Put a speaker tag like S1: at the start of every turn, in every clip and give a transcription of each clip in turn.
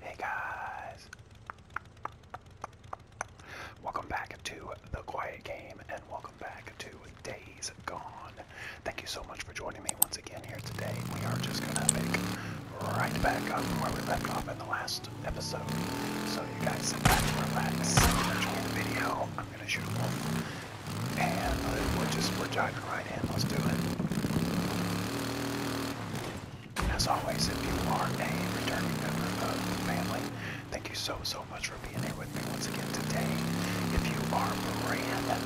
S1: Hey guys! Welcome back to The Quiet Game and welcome back to Days Gone. Thank you so much for joining me once again here today. We are just gonna pick right back up where we left off in the last episode. So you guys sit back, relax, enjoy the video. I'm gonna shoot a wolf and we're just, we're diving right right Let's do it. As always, if you are a returning member of the family, thank you so, so much for being here with me once again today. If you are brand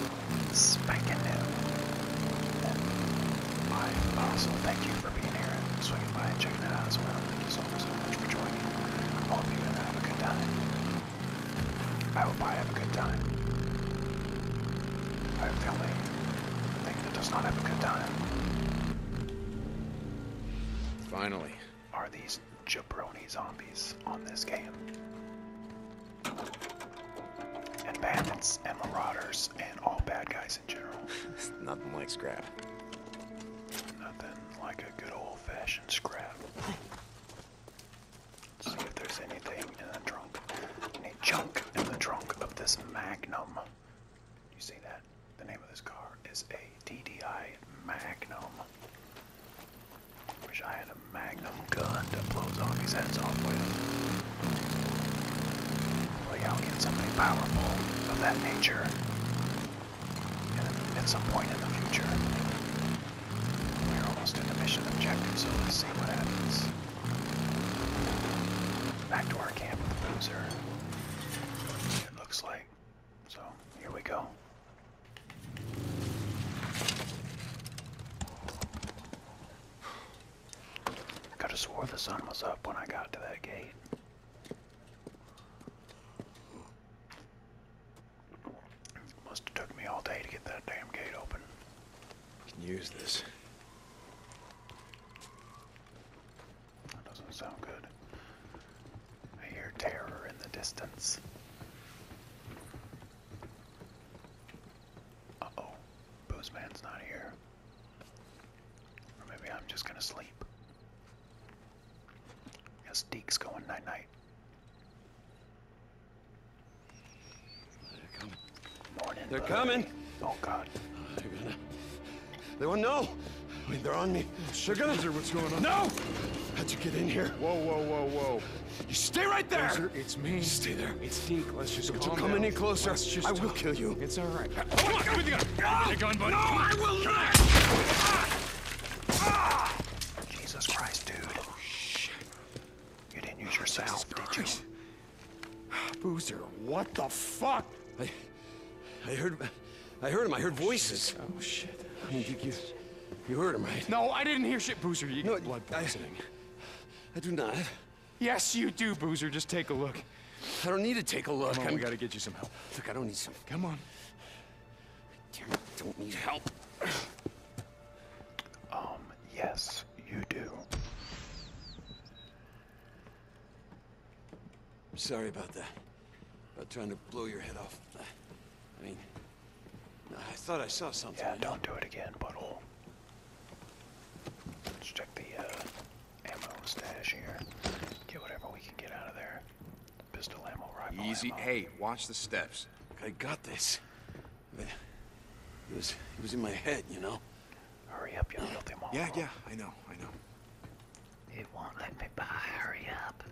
S1: spanking new, then I also thank you for being here and swinging by and checking it out as well. Thank you so, so much for joining. I hope you have a good time. I hope I have a good time. Finally. Are these jabroni zombies on this game?
S2: And bandits and marauders and all bad guys in general. Nothing like
S1: scrap. Nothing like a good old fashioned scrap see if there's anything in the trunk. Any junk in the trunk of this Magnum. You see that? The name of this car is a DDI Magnum. Wish I had a Magnum gun that blows zombies' heads off with. Well, will get something powerful of that nature at some point in the future. We're almost at the mission objective, so let's see what happens. Back to our camp, loser. It looks like. So, here we go. Could have swore the sun was up when I got to that gate. Must have took me all day to get that damn gate open.
S2: I can use this. That doesn't sound good. I hear
S1: terror in the distance. Uh-oh. Boozman's not here. Or maybe I'm just gonna sleep. Yes, Deke's going night-night. They're coming. Oh, God. They're gonna...
S3: They will not know. I mean, they're on me. they what's going on? No! How'd you get in here? Whoa, whoa, whoa, whoa. You stay right there! Laser, it's me. You stay there. It's Deke. Let's just Don't come down. any closer. I will
S2: kill you. It's all right. Come on, the gun. No! I will not!
S1: Ah! Jesus Christ, dude. Oh, shit. You didn't use your salve, did you?
S3: Boozer, what the fuck? I, I heard, I heard him. I heard voices. Oh shit! I mean, you, you heard him, right? No, I didn't hear shit, Boozer. You no, get blood poisoning. I, do not. Yes, you do, Boozer. Just take a look. I don't need to take a look.
S4: i we
S2: gotta get you some help. Look, I don't need some. Come on. I don't need help.
S1: Um, yes you do. Sorry about that. About trying to blow your head off. I mean, I thought I saw something. Yeah, don't do it again, butthole. Let's check the uh, ammo stash here. Get whatever we can get out of there. Pistol ammo, rifle
S3: Easy. Hey,
S2: watch the steps. I got this it was, it was in my head,
S1: you know? Hurry up, you filthy Yeah, yeah, I know, I know. It won't let me by. Hurry up.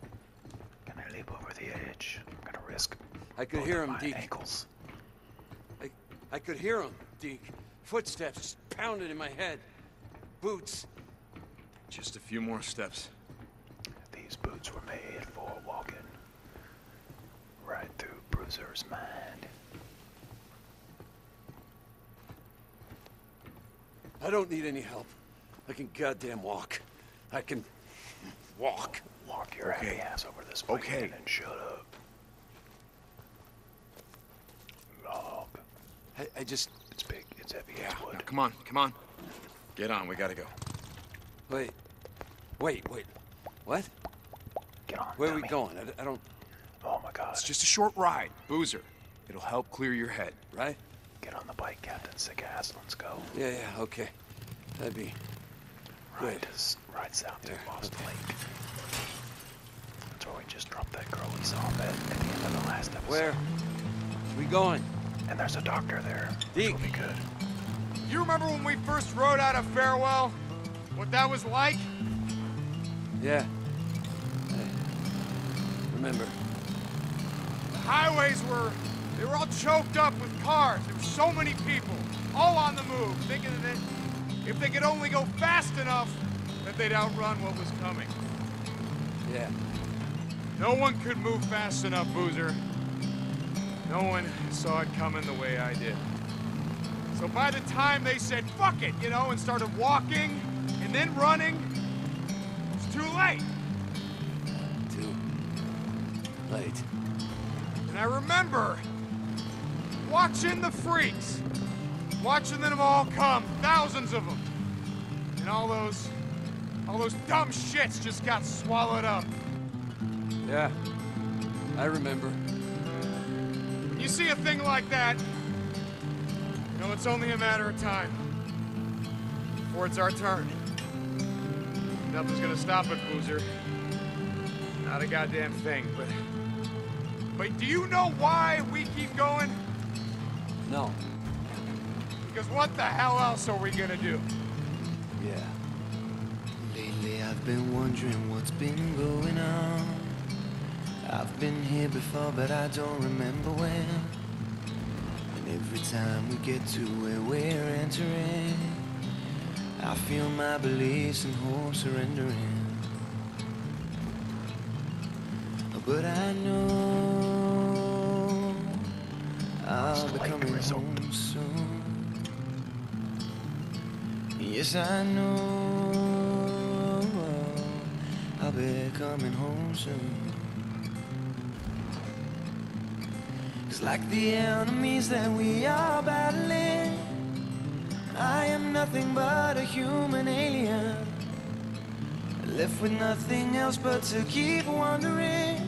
S1: i leap over the edge. I'm gonna risk. I could hear him, Deke. I, I could hear him, Deke. Footsteps pounded in my head. Boots.
S2: Just a few more steps. These boots were made for walking right through Bruiser's mind. I don't need any help. I can goddamn walk. I can
S1: walk. Walk your okay. ass
S2: over this blanket okay. and then shut up. Log.
S1: I, just. It's big. It's heavy. Yeah.
S2: come on. Come on. Get on. We gotta go. Wait. Wait. Wait. What? Where are we going? I, don't. Oh my God. It's just a short ride, Boozer. It'll help clear your head, right?
S1: Get on the bike, Captain Sigas. Let's go. Yeah, yeah,
S2: okay. That'd be.
S1: Right, Rides out
S2: to Lost Lake. That's where
S1: we just dropped that girl we saw at, the end of the last episode. Where? We going? And there's a doctor there. Deke. will be good.
S3: You remember when we first rode out of Farewell? What that was like?
S1: Yeah.
S2: remember.
S3: The highways were, they were all choked up with cars. There were so many people, all on the move, thinking that if they could only go fast enough, that they'd outrun what was coming. Yeah. No one could move fast enough, Boozer. No one saw it coming the way I did. So by the time they said, fuck it, you know, and started walking and then running, it's too late. Too late. And I remember watching the freaks, watching them all come, thousands of them. And all those, all those dumb shits just got swallowed up.
S2: Yeah. I remember.
S3: You see a thing like that, you know it's only a matter of time. Before it's our turn. Nothing's gonna stop it, Boozer. Not a goddamn thing, but... But do you know why we keep going? No. Because what the hell else are we gonna do?
S5: Yeah. Lately I've been wondering what's been going on. I've been here before, but I don't remember when. And every time we get to where we're entering, I feel my beliefs and hope surrendering. But I know I'll be coming home soon. Yes, I know I'll be coming home soon. Cause like the enemies that we are battling, I am nothing but a human alien. Left with nothing else but to keep wandering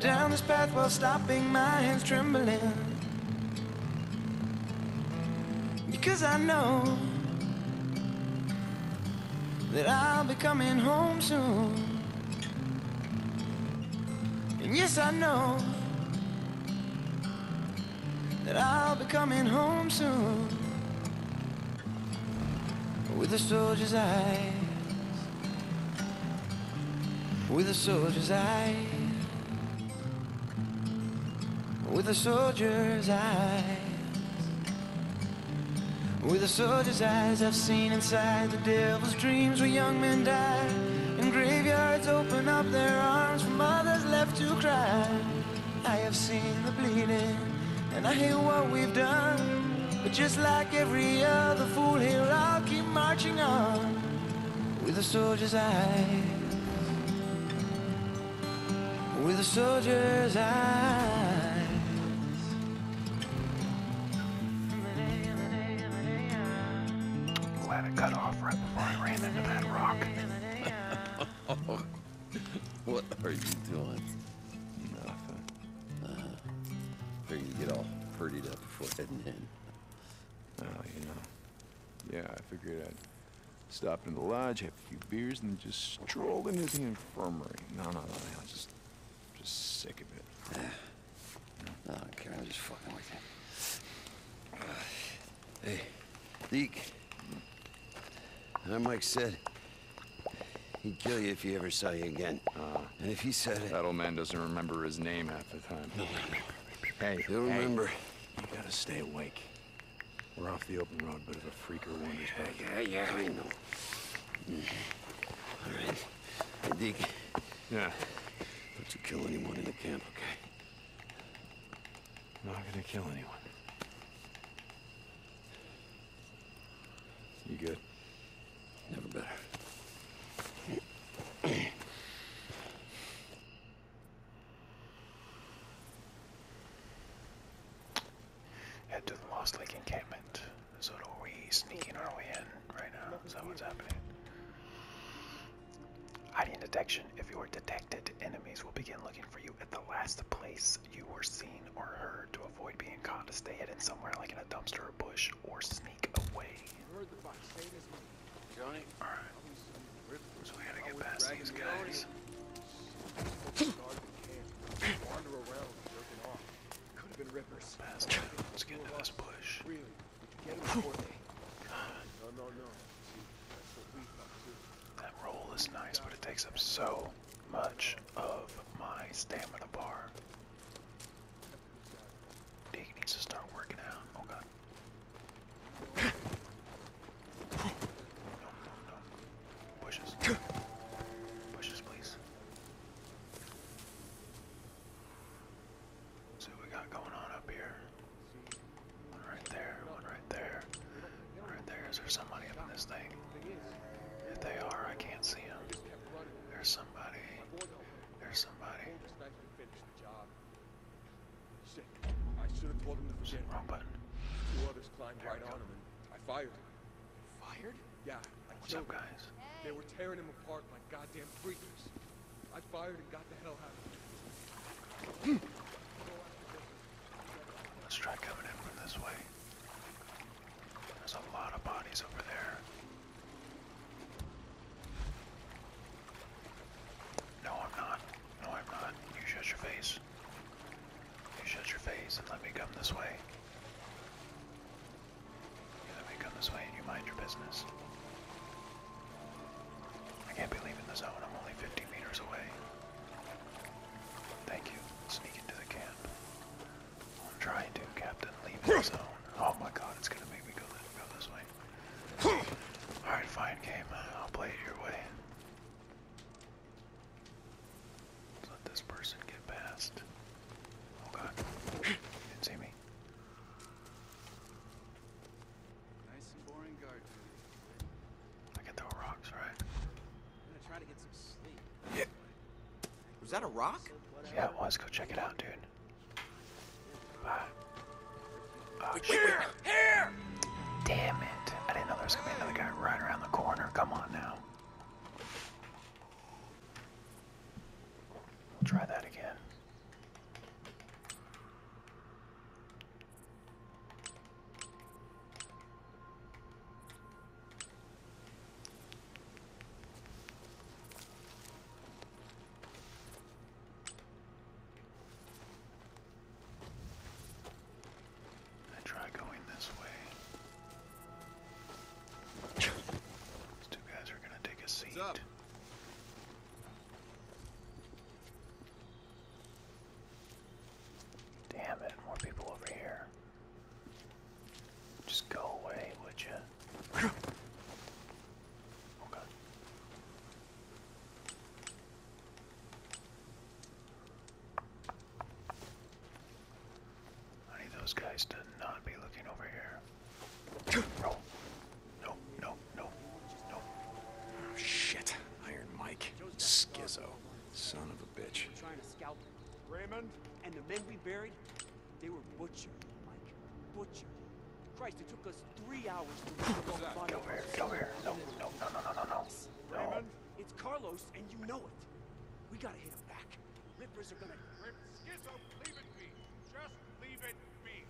S5: down this path while stopping my hands trembling. Because I know that I'll be coming home soon. And yes, I know that I'll be coming home soon with a soldier's eyes, with a soldier's eyes. With a soldier's eyes With a soldier's eyes I've seen inside the devil's dreams Where young men die And graveyards open up their arms For mothers left to cry I have seen the bleeding And I hate what we've done But just like every other fool here I'll keep marching on with a soldier's eyes, with a soldier's eyes.
S1: Glad it cut off right before I ran into that rock.
S2: what are you doing? Nothing. Uh, get all purdied up before heading in. Well, oh, you know. Yeah, I figured I'd stop in the lodge, have a few beers, and then just stroll into the infirmary. No, no, no, no, just, just sick of it.
S5: no, I don't care. I'm just fucking with you. Hey, Deke. That Mike said, he'd kill you if he ever
S2: saw you again. Uh, and if he said it... That old man doesn't remember his name half the time. Hey, he'll remember. You gotta stay awake. We're off the open road, but if a freaker wanders back... Yeah, yeah, yeah, I know. All right. I dig. Yeah. Not you kill anyone in the camp, okay? Not gonna kill anyone. You good? Never better.
S1: Head to the Lost Lake encampment. So are we sneaking our way in right now? Is that what's happening? Hiding detection. If you are detected, enemies will begin looking for you at the last place you were seen or heard to avoid being caught to stay hidden somewhere like in a dumpster or bush or sneak away. Johnny. All right. So we gotta get past these guys. Could have been rippers. Let's get to this bush. That roll is nice, but it takes up so much of my stamina bar. Dig needs to start working out. Oh god. Bushes. Bushes, please. See what we got going on up here. One right there, one right there, right there. Is there somebody up in this thing? If they are, I can't see them. There's somebody. There's somebody. Shit. I should have told him to forget. Wrong button. Two others climbed right on him and I fired.
S3: Fired? Yeah. I What's up, guys? They were tearing him apart like goddamn freakers.
S1: I fired and got the hell out of him. Let's try coming in from this way. There's a lot of bodies over there. No, I'm not. No, I'm not. You shut your face. You shut your face and let me come this way. let me come this way and you mind your business. I can't be leaving the zone. I'm only 50 meters away. Thank you. Sneak into the camp. I'm trying to, Captain. Leave the zone. Oh my god, it's gonna make me go, go this way. Alright, fine game. I'll play it your way let this person get past. Oh god. didn't see me. Nice and boring guard I can throw rocks, right? gonna try to get some sleep. Yeah. Was that a rock? Yeah, it was. Go check it out, dude. Bye. Oh, wait, Here! Damn it. I didn't know there was going to be another guy right around the corner. Come on now. We'll try that again. I try going this way. These two guys are gonna take a seat. Damn it, more people over here. Just go away, would you? Oh god. I need those guys to not be looking over here. No. No, no, no, no. Oh, shit. Iron Mike.
S2: Schizo. Son of a bitch.
S3: Trying to scalp Raymond? And the men we buried, they were butchered, Mike. Butchered. Christ, it took us three hours to reach the Go here, go here. No, no, no, no, no, no,
S1: no. Raymond.
S3: It's Carlos, and you know it. We gotta hit him back. Rippers are gonna... Rip Schizo, leave it be. Just leave it be.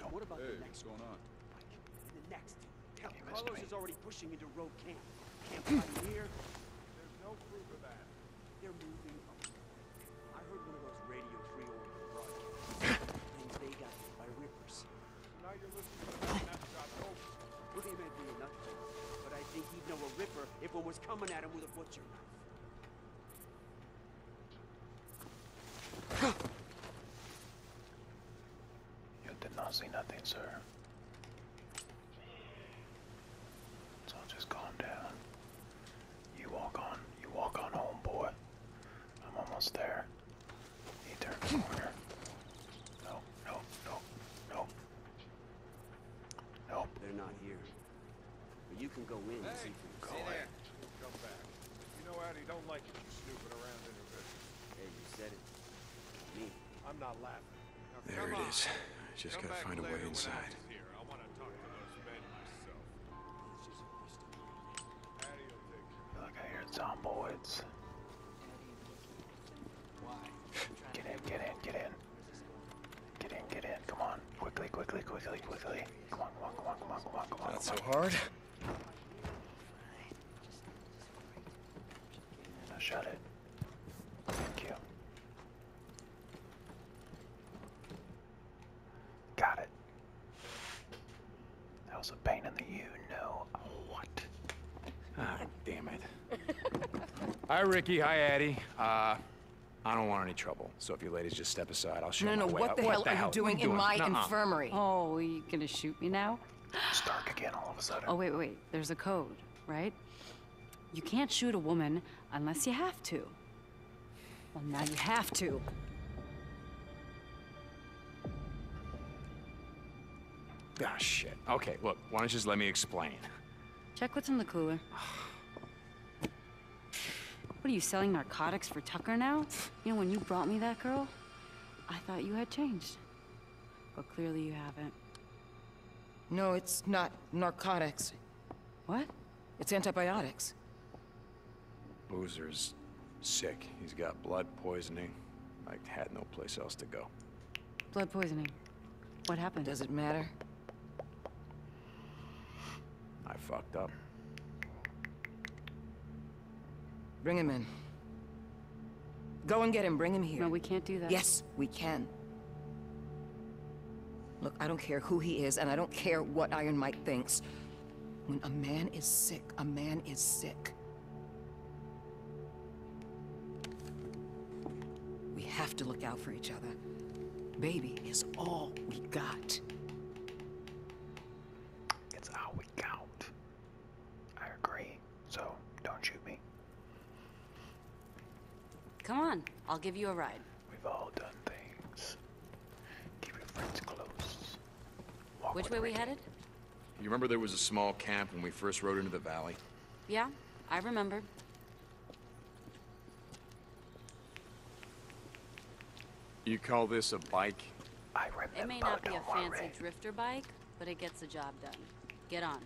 S1: now, what about the
S2: next
S3: what's going on? Like, the next. Carlos is already pushing into Rogue Camp. Camp here. Hmm. There's no proof of that. They're moving I heard one of those Radio Free orders you I think he'd know a ripper if
S1: one was coming at him with a butcher knife. did not see nothing, sir. So just calm down. You walk on. You walk on home, I'm almost there. He turned the corner. No, no, no, no. Nope. They're not here. But you can go in and see for yourself.
S3: Come back. You know Addy don't like you snooping around in her business. Hey, you said it. I'm not laughing. there it is. I just gotta find a way inside.
S1: Look, I hear zomboids. Get in, get in, get in. Get in, get in, come on. Quickly, quickly, quickly, quickly. Come on, come
S2: on, come on, come on, come on, come on. Not so hard.
S1: Now shut it. Thank you. Got it. That was a pain in the you know what.
S6: Ah,
S2: damn it. hi, Ricky. Hi, Addie. Uh, I don't want any trouble, so if you ladies just step aside, I'll show no, you no, No, no, what the hell are you doing, in my infirmary?
S6: Oh, are you gonna shoot me now? It's dark again all of a sudden. Oh, wait, wait. There's a code, right? You can't shoot a woman unless you have to. Well, now you have to.
S2: Ah, shit. Okay, look, why don't you just let me explain?
S6: Check what's in the cooler. what are you, selling narcotics for Tucker now? You know, when you brought me that girl, I thought you had changed. But clearly you haven't.
S4: No, it's not narcotics. What? It's antibiotics.
S2: Boozer's sick. He's got blood poisoning. I had no place else to go.
S4: Blood poisoning? What happened? Does it matter? I fucked up. Bring him in. Go and get him. Bring him here. No, we can't do that. Yes, we can. Look, I don't care who he is, and I don't care what Iron Mike thinks. When a man is sick, a man is sick. We have to look out for each other. Baby is all we got. It's all we got.
S1: I agree.
S4: So,
S6: don't shoot me. Come on, I'll give you a ride. We've all done things. Keep your friends close. Which way we headed?
S2: You remember there was a small camp when we first rode into the valley?
S6: Yeah, I remember.
S2: You call this a bike?
S6: I remember. It may not be a fancy drifter bike, but it gets the job done. Get on.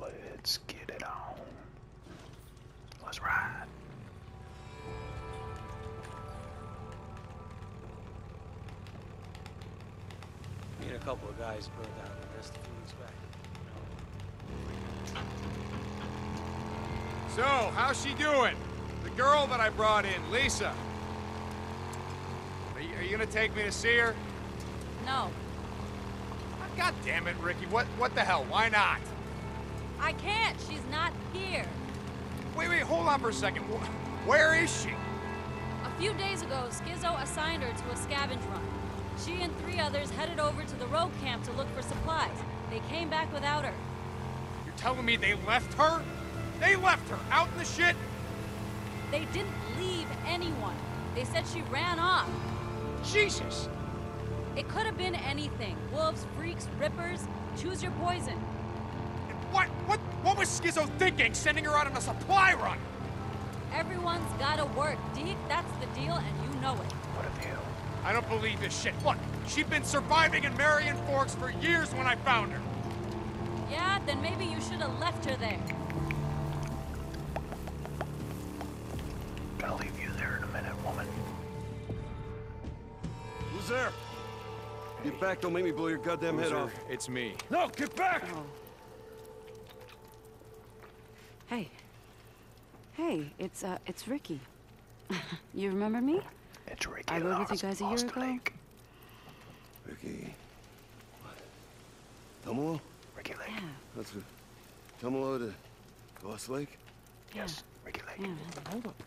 S1: Let's get it on. Let's ride. Me and a couple of guys burned out the rest a few weeks back.
S3: So, how's she doing? The girl that I brought in, Lisa. Are you, are you gonna take me to see her?
S6: No. Ah, God
S3: damn it, Ricky. What, what the hell? Why not?
S6: I can't. She's not here.
S3: Wait, wait, hold on for a second. Where is she?
S6: A few days ago, Schizo assigned her to a scavenge run. She and three others headed over to the rogue camp to look for supplies. They came back without her. You're telling me they left her? They left her out in the shit? They didn't leave anyone. They said she ran off. Jesus! It could have been anything. Wolves, freaks, rippers. Choose your poison. What? What?
S3: What was Schizo thinking? Sending her out on a supply run?
S6: Everyone's gotta work, Deke. That's the deal, and you know it. What a you?
S3: I don't believe this shit. What? she'd been surviving in Marion Forks for years when I found her.
S6: Yeah, then maybe
S3: you should have
S1: left her there. I'll leave you there in a minute, woman. Who's there?
S3: Get back, don't make me blow your goddamn Loser, head off. It's me.
S6: No, get back! Oh. Hey. Hey, it's, uh, it's Ricky. you remember me? It's Ricky I rode with you guys a year ago. Lake. Ricky... What? Tumalo? Ricky Lake. Yeah. That's a...
S4: Tumalo to Lost Lake?
S6: Yes, Yeah, hold up,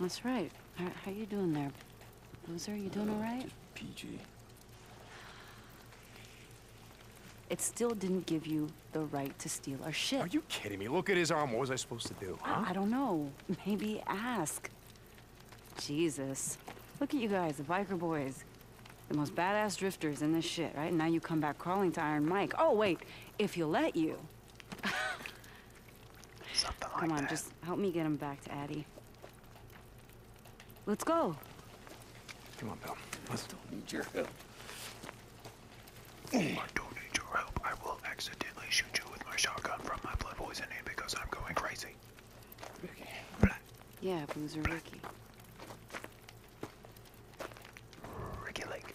S6: That's right. How, how you doing there, loser? You doing uh, all right? PG. It still didn't give you the right to steal our shit. Are you kidding me? Look at his arm. What was I supposed to do, I, don't know. Maybe ask. Jesus. Look at you guys, the biker boys. The most badass drifters in this shit, right? now you come back crawling to Iron Mike. Oh, wait. If you'll let you. Come on, just help me get him back to Addie. Let's go.
S1: Come on, Bill. I still need your help. I don't need your help. I will accidentally shoot you with my shotgun from my blood poisoning because I'm going crazy.
S6: Yeah, Boozer Ricky. Ricky Lake.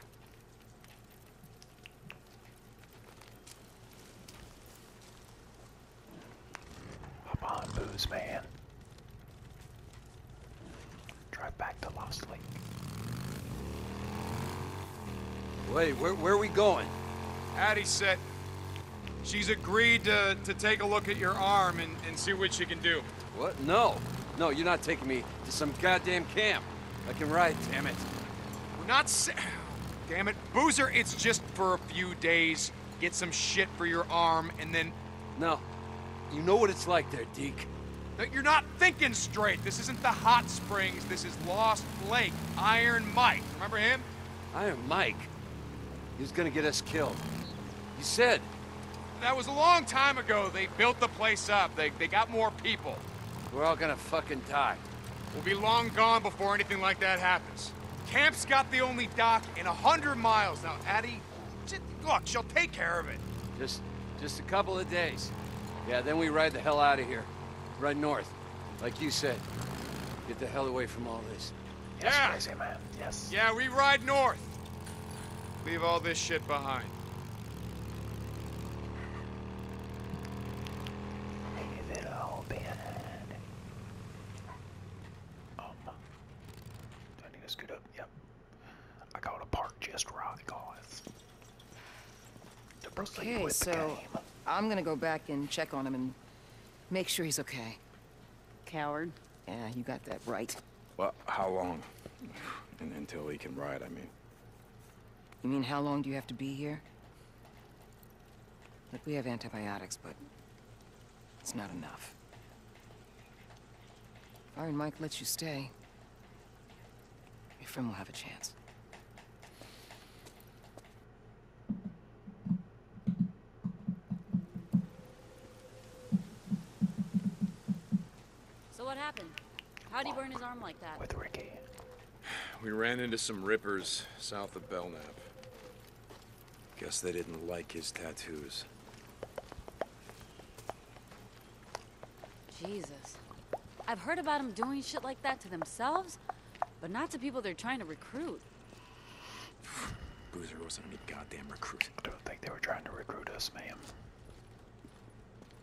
S1: Up on booze, man. Drive back to
S3: Lost Lake. Wait, where, where are we going? Addie said she's agreed to, to take a look at your arm and, and see what she can do. What? No. No, you're not taking me to some goddamn camp. I can ride, damn it. We're not Damn it. Boozer, it's just for a few days. Get some shit for your arm, and then... No. You know what it's like there, Deke. you're not thinking straight. This isn't the hot springs. This is Lost Lake. Iron Mike. Remember him? Iron Mike? He was gonna get us killed. You said... That was a long time ago. They built the place up. They, they got more people. We're all gonna fucking die. We'll be long gone before anything like that happens. Camp's got the only dock in a hundred miles. Now, Addie, look, she'll take care of it.
S2: Just, just a couple of days. Yeah, then we ride the hell out of here. Run north, like you said. Get the hell away from all this.
S1: Yes, yeah. crazy man. Yes.
S3: Yeah, we ride north. Leave all this shit behind.
S1: Leave it all behind. Um, I need to scoot up? Yep. I got a park just right, guys.
S4: okay, so I'm gonna go back and check on him and make sure he's okay. Coward. Yeah, you got that right. Well, how long? And until he can ride, I mean. You mean how long do you have to be here? Look, we have antibiotics, but it's not enough. If Iron Mike lets you stay, your friend will have a chance.
S6: So what happened? How'd he burn his arm like that? With Ricky.
S2: We ran into some rippers south of Belknap. Guess they didn't like his tattoos.
S6: Jesus. I've heard about them doing shit like that to themselves, but not to people they're trying to recruit.
S1: Boozer wasn't any goddamn recruiting. I don't think they were trying to recruit us, ma'am.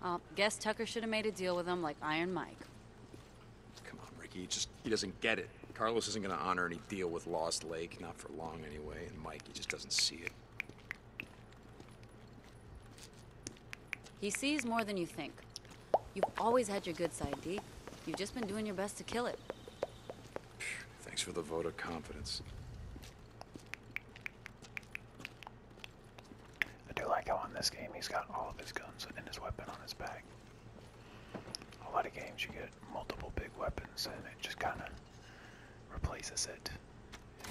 S6: Uh, guess Tucker should have made a deal with him like Iron Mike.
S2: Come on, Ricky. He just he doesn't get it. Carlos isn't going to honor any deal with Lost Lake, not for long anyway. And Mike, he just doesn't see it.
S6: He sees more than you think. You've always had your good side, D. You've just been doing your best to kill it.
S2: Thanks for the vote of confidence.
S1: I do like how on this game he's got all of his guns and his weapon on his back. A lot of games you get multiple big weapons and it just kind of replaces it.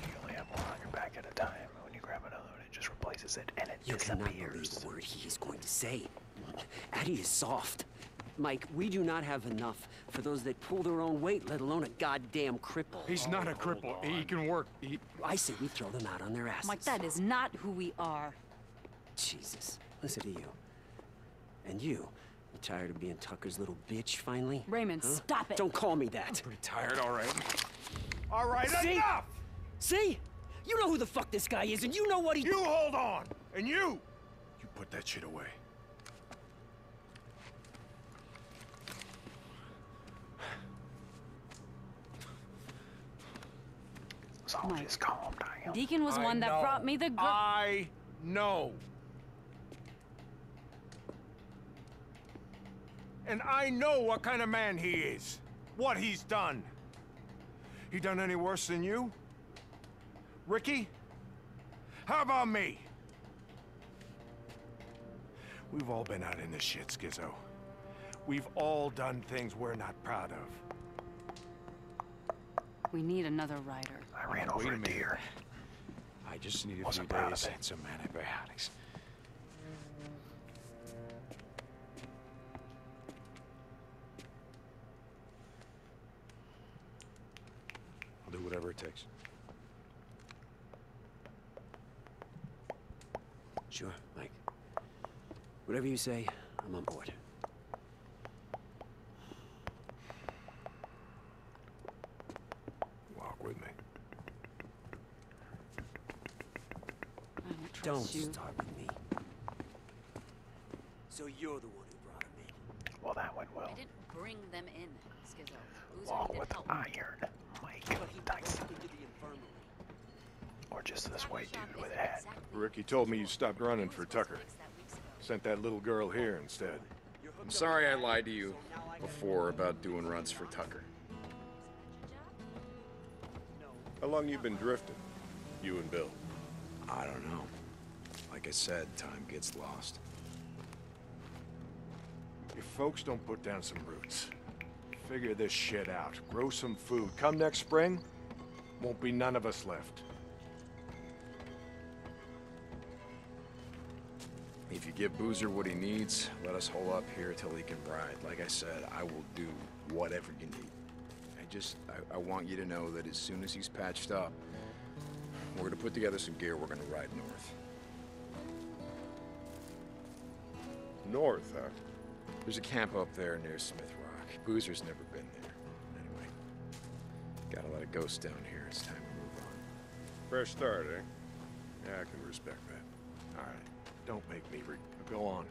S1: You only have one on your back at a time, when you grab another one, it just replaces it and it's you can hear the word he is going to say. Addy is soft. Mike, we do not have enough
S3: for those that pull their own weight, let alone a goddamn cripple. He's not a cripple. He can work. I say we throw them out on their
S2: asses. Mike,
S6: that is not who we are. Jesus,
S2: listen to you. And you, you tired of being Tucker's little bitch finally? Raymond, stop it! Don't
S3: call me that! I'm pretty tired, all right. All right, See? See? You know who the fuck this guy is, and you know what he- You hold on! And you! You put that
S2: shit
S1: away. So
S6: Deacon was I one that brought me the girl.
S3: I know. And I know what kind of man he is. What he's done. He done any worse than you? Ricky? How about me? We've all been out in the shit, Schizo. We've all done things we're not proud of.
S6: We need another rider.
S3: I ran oh, over a, deer.
S2: I just need a Wasn't few days and some antibiotics. I'll do whatever it takes.
S1: Sure, Mike. Whatever you say, I'm on board.
S4: Walk with me. Don't, start with me.
S1: So you're the one who brought them in. Well, that went well. I didn't
S6: bring them in, Skizzo. Walk with iron,
S1: Mike Tyson. Or just this white dude with a hat.
S3: Ricky told me you stopped running for Tucker.
S2: Sent that little girl here instead. I'm sorry I lied to you before about doing runs for Tucker. How long you been drifting, you and Bill? I don't know. Like I said, time gets lost.
S3: If folks don't put down some roots, Figure this shit out. Grow some food. Come next spring, won't be none of us left. If you give
S2: Boozer what he needs, let us hold up here till he can ride. Like I said, I will do whatever you need. I just, I want you to know that as soon as he's patched up, we're gonna put together some gear, we're gonna ride north. North, huh? There's a camp up there near Smith Rock. Boozer's never been there. Anyway, got a lot of ghosts down here. It's time to move on. Fresh start, eh? Yeah, I can respect that. All right, don't make me go on.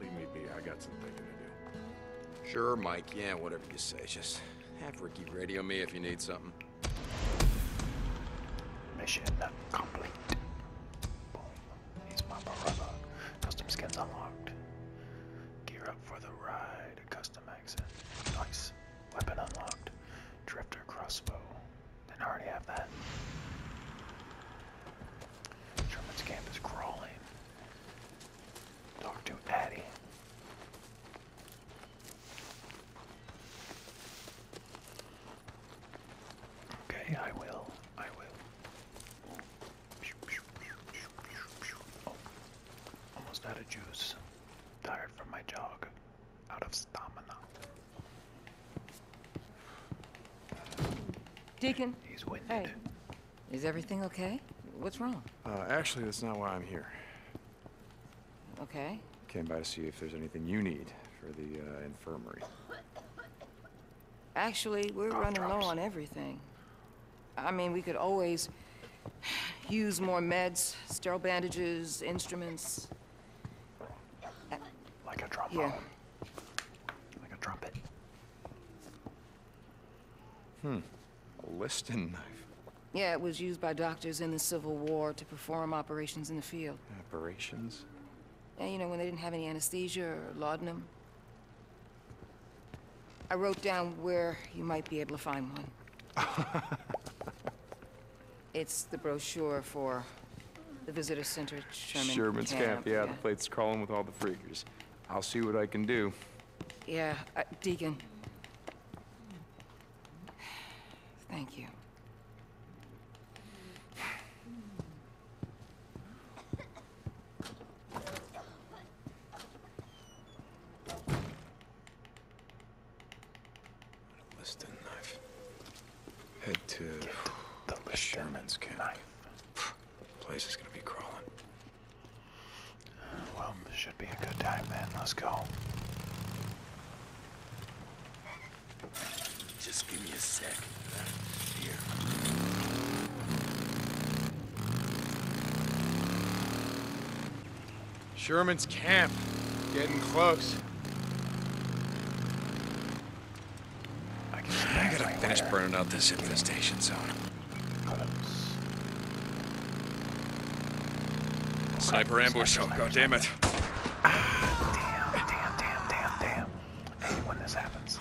S2: Leave me be. I got some thinking to do. Sure, Mike. Yeah, whatever you say. Just have Ricky radio me if you need something.
S1: Mission complete. He's my brother. Custom skins unlocked. Gear up for the ride. Custom accent. Nice. Weapon
S6: unlocked. Drifter crossbow. Didn't already have that. Sherman's camp is crawling. Talk to Addie.
S1: Okay, I will. I will. Oh, almost out of juice. Tired from my jog. Out of stamina.
S4: Deacon. He's winded. Hey. Is everything okay? What's wrong?
S2: Uh, actually, that's not why I'm here. Okay. Came by to see if there's anything you need for the uh, infirmary.
S4: Actually, we're oh, running low on everything. I mean, we could always use more meds, sterile bandages, instruments. Like a drop
S1: yeah. Like a trumpet.
S2: Hmm. A listing knife.
S4: Yeah, it was used by doctors in the Civil War to perform operations in the field.
S2: Operations?
S4: you know, when they didn't have any anesthesia or laudanum. I wrote down where you might be able to find one. it's the brochure for the visitor center at Sherman Sherman's camp. yeah, the
S2: place crawling with all the freakers. I'll see what I can do.
S4: Yeah, uh, Deacon. Thank you.
S1: Liston knife. Head to the Liston Sherman's camp. Knife. Place is gonna be crawling. well, should be a good time then. Let's go. Just give me a sec.
S3: Sherman's camp. Getting close.
S2: I, gotta finish burning out this infestation zone. Sniper ambush. Oh, God damn it. damn, damn, damn, damn, damn
S6: when this happens.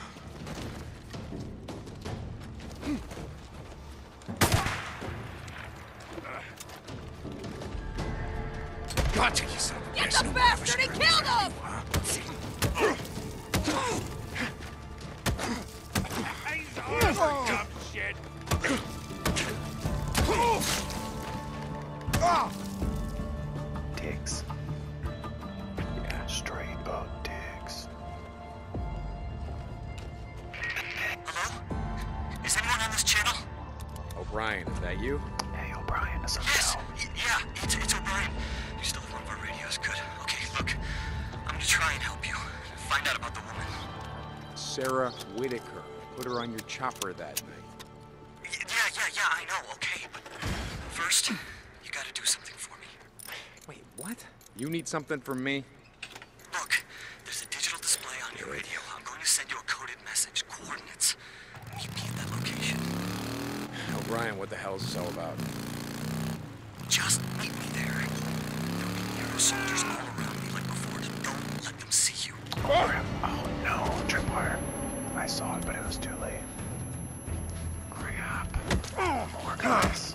S3: Get the bastard! He killed him! He's
S1: straight up dicks.
S2: Hello? Is anyone on this channel? O'Brien, is that you? Hey, O'Brien,
S5: Yes, yeah, it's, it's O'Brien. You still have one of our radios, good. Okay, look, I'm gonna try and help you. Find out about the woman.
S3: Sarah Whitaker.
S2: Put her on your chopper that night. yeah, yeah, yeah, I
S5: know, okay, but first... You gotta do something for me. Wait, what?
S3: You need something from me?
S5: Look, there's a digital display on your radio. I'm going to send you a coded message, coordinates.
S2: Meet me at that location. O'Brien, oh, what the hell is this all about?
S1: Just meet me there. there all around me Don't let them see you. Oh, oh no, tripwire. I saw it, but it was too late. Crap. More guys.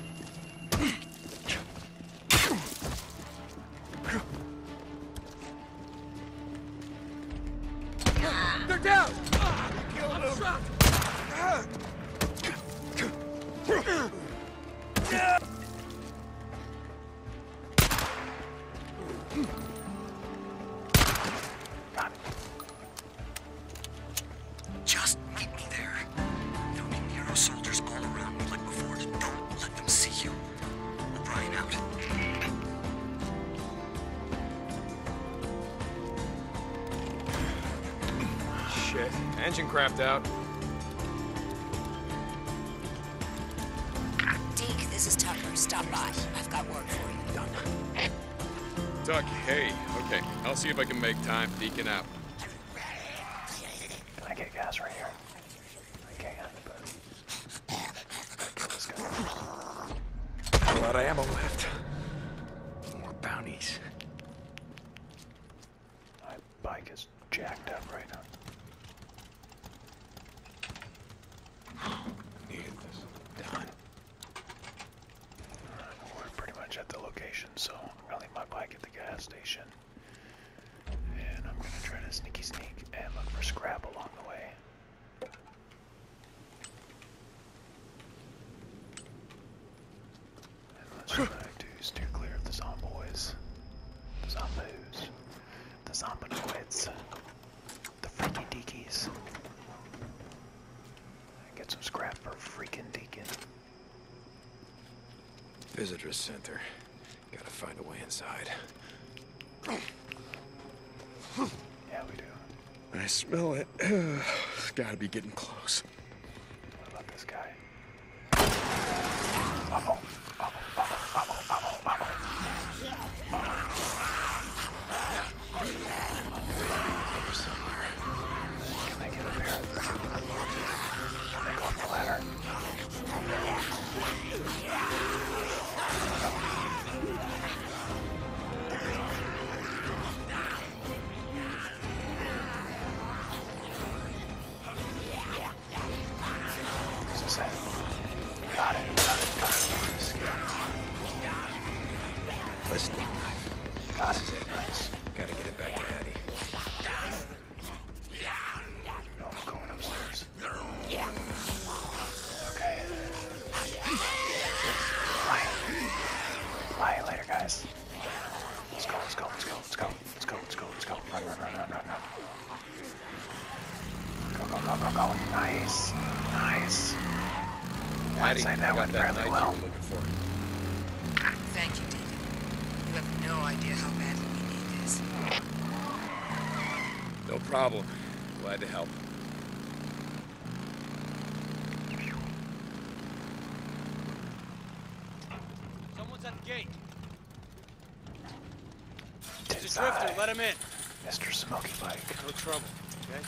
S3: They're down! Ah, killed him! Yeah!
S4: Just meet me there.
S2: There'll be Nero soldiers all around me like before. Don't let them see you.
S3: O'Brien out. Shit. Engine crapped out.
S4: Deke, this is Tucker. Stop by. I've got work Done.
S2: Duck, hey, okay. I'll see if I can make time Deacon out.
S1: Can I get gas right here? Okay, on A lot of ammo left. More bounties. My bike is jacked up right now. Need this done. We're pretty much at the location, so I'm gonna leave my bike at the gas station. And I'm gonna try to sneaky sneak and look for scrap along the way. And let's try to steer clear of the zomboys. The zombies. The zomboids. The freaky deekies. Get some scrap for freaking deacon.
S2: Visitor center. Gotta find a way inside.
S1: Yeah, we do.
S2: I smell it. it's gotta be getting close. What about this guy?
S1: Over somewhere. Can I get up here? Can I go up the ladder? This is it. Got it. Got it. Got it. Got it. Got it. Listen. This is it. Nice. Gotta get it back to
S2: Hattie. No, I'm going upstairs.
S1: Okay. Bye. Bye. Later, guys. Let's go, let's go, let's go, let's go. Let's go, let's go, let's go. Run, run, run, run, run, run. Go, go, go, go, go. Nice.
S4: Nice.
S1: I'd say that went fairly well.
S4: Thank you, David. You have no idea how badly we need this.
S2: No problem. Glad to help.
S3: Someone's at the gate.
S1: There's a Let him in. Mr. Smoky Bike. No trouble, okay?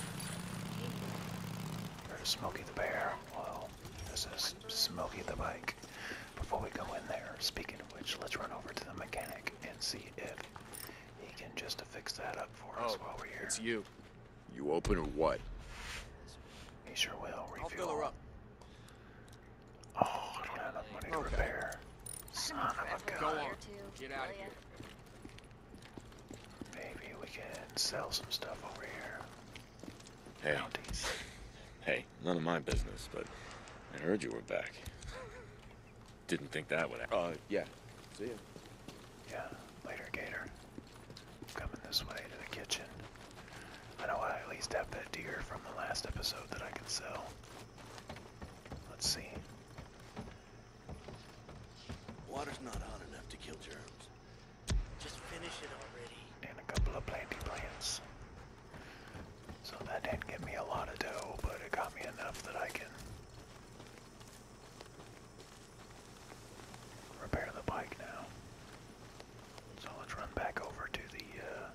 S1: There's Smokey the Bear. Well, this is Smoky the Bike. Before we go in there, speaking of which, let's run over to the mechanic and see if he can just fix that up for us oh, while we're here. It's you. You open or what? He sure will. Refuel. I'll fill her up. Oh, I don't have enough money to a
S4: gun. Go on.
S1: Get out of here. Maybe we can sell some stuff over here.
S5: Hey. Auntie. Hey, none of my
S2: business, but I heard you were back. Didn't think that would happen. Uh, yeah. See you. Yeah, later, Gator. coming this way to the kitchen.
S1: I know I at least have that deer from the last episode that I can sell. Let's see. Water's not hot enough to kill germs. Just finish it already. And a couple of planting plants. So that didn't give me a lot of dough, but it got me enough that I can
S2: repair the bike now. So let's run back over to the uh,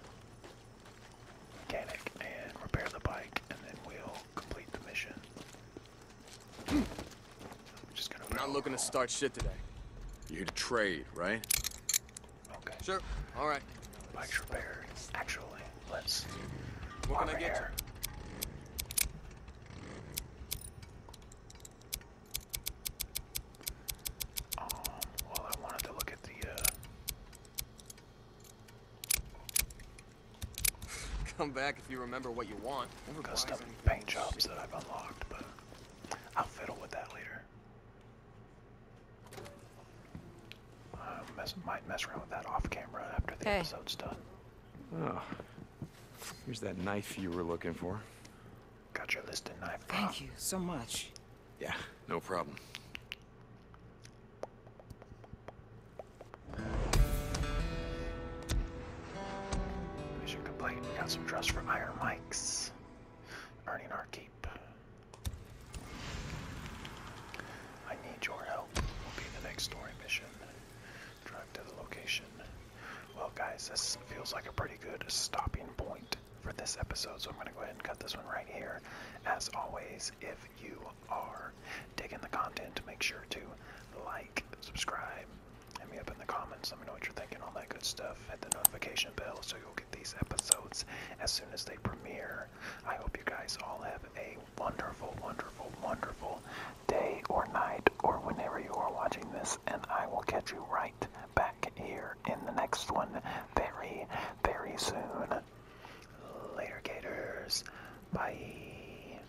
S2: mechanic and repair the bike, and then we'll complete the mission. I'm not looking to start shit today. You're here trade, right?
S1: Okay. Sure. All right. Bike's repaired. Actually, let's. What can I get? Um, well, I wanted to look at the. Uh, Come back if you remember what you want. Never Custom paint jobs that I've unlocked, but I'll fiddle with that later. Uh, mess, might mess around with that off camera after the hey. episode's done.
S2: Oh, here's that knife you were looking for.
S1: Got your list and knife.
S4: Thank you so much.
S2: Yeah, no problem.
S1: Mission complete. We got some dress from Iron Mike's. Earning our keep. I need your help. Will be the next story mission. Drive to the location. Well, guys, this feels like a pretty good stopping point for this episode, so I'm going to go ahead and cut this one right here. As always, if you are digging the content, make sure to like, subscribe, Hit me up in the comments. Let me know what you're thinking, all that good stuff. Hit the notification bell so you'll get these episodes as soon as they premiere. I hope you guys all have a wonderful, wonderful, wonderful day or night or whenever you are watching this, and I will catch you right back here in the next one very, very soon. Later, Gators. Bye.